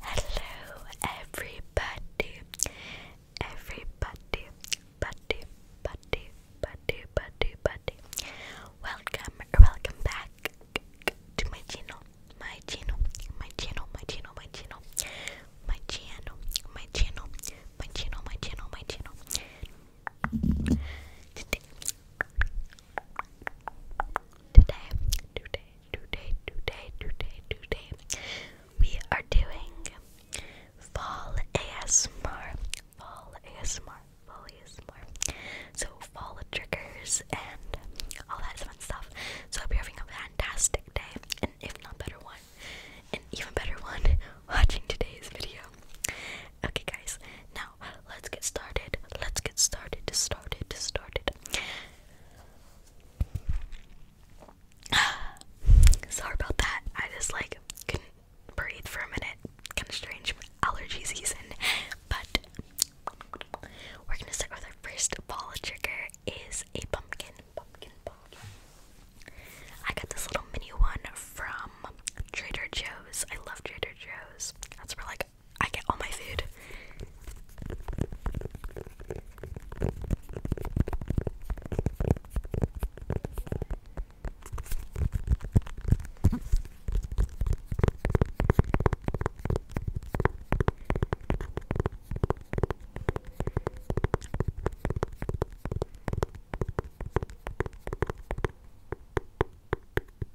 Hello, everybody, everybody, buddy, buddy, buddy, buddy, buddy. Welcome, welcome back to my channel, my channel, my channel, my channel, my channel, my channel, my channel, my channel, my channel, my channel. Today, today, today, today, today, today, we are doing fall ASMR, fall ASMR, fall ASMR. So fall triggers and all that fun stuff. So I will be having a fantastic day, and if not better one, an even better one watching today's video. Okay guys, now let's get started. Let's get started. Started. Started. Sorry about that. I just like couldn't breathe for a minute. Kind of strange allergy season, but we're gonna start with our first ball trigger is a pumpkin. Pumpkin, pumpkin. I got this little mini one from Trader Joe's. I love Trader Joe's. That's where like I get all my food.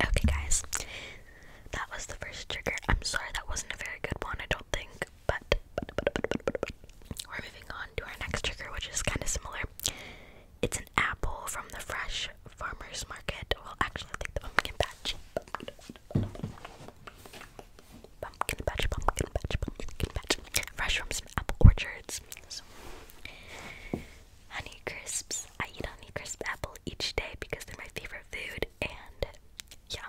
Okay, guys, that was the first trigger. I'm sorry that wasn't a very good one, I don't think, but, but. we're moving on to our next trigger, which is kind of similar. It's an apple from the fresh farmer's market. Well, actually, I think the pumpkin patch. Pumpkin patch, pumpkin patch, pumpkin patch. Fresh from some apple orchards. So, honey crisps. I eat honey crisp apple each day because they're my favorite food. And yeah,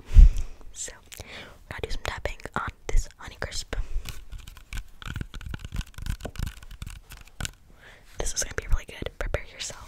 so I'm gonna do some tapping on this honey crisp. This is gonna be really good. Prepare yourselves.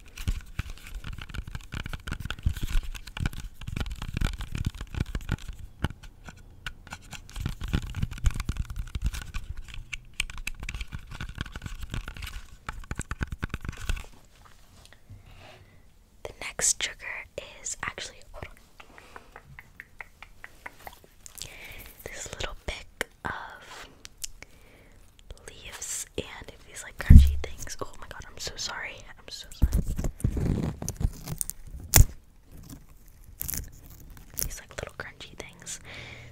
The next trigger is actually hold This little pick of leaves and these like crunchy things. Oh my god, I'm so sorry. I'm so sorry. These like little crunchy things.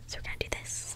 So we're gonna do this.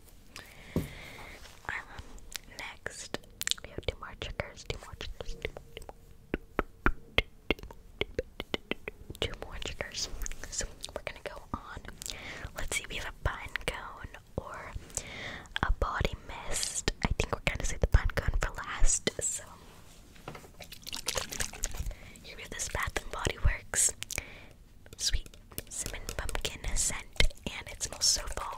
next, we have two more triggers, two more triggers, two more, triggers. So we're gonna go on. Let's see, we have a pine cone or a body mist. I think we're gonna save the pine cone for last. So here Bath and Body Works sweet cinnamon pumpkin scent, and it smells so fall.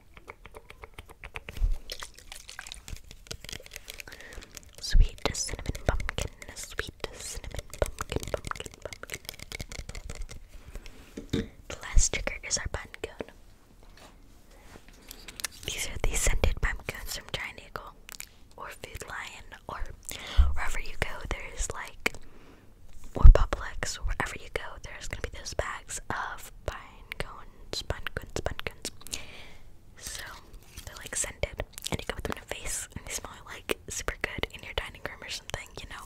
Sweet cinnamon pumpkin, sweet cinnamon pumpkin, The last trigger is our pumpkin. These are the scented pumpkins from Triangle or Food Lion or wherever you go. There's like or Publix, wherever you go, there's gonna be those bags of pine cones, pine cones, pine cones. So they're like scented, and you can put them in a vase, and they smell like super good in your dining room or something, you know.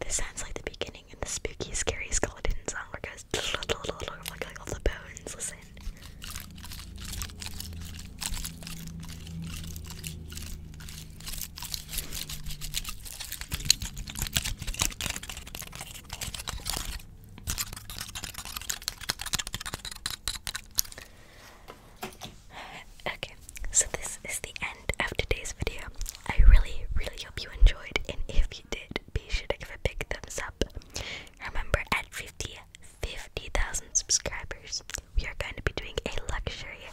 This sounds like the beginning in the spooky, scary skeleton song where it goes all the bones. Listen. Okay, so this is the end of today's video. I really, really hope you enjoyed, and if you did, be sure to give a big thumbs up. Remember, at 50, 50,000 subscribers, we are going to be doing a luxury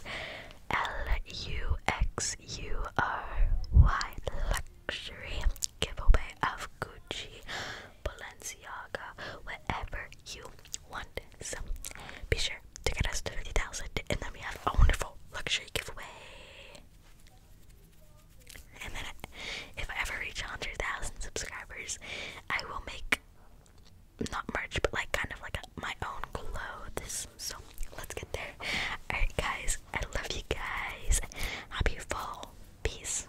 L-U-X-U-R-Y luxury giveaway of Gucci, Balenciaga, whatever you want. So be sure to get us to 50,000 and then we have a wonderful luxury giveaway. And then if I ever reach 100,000 subscribers, I will make not merch, but like kind of like my own clothes. So let's get there. Alright, guys, I love you guys. Happy fall. Peace.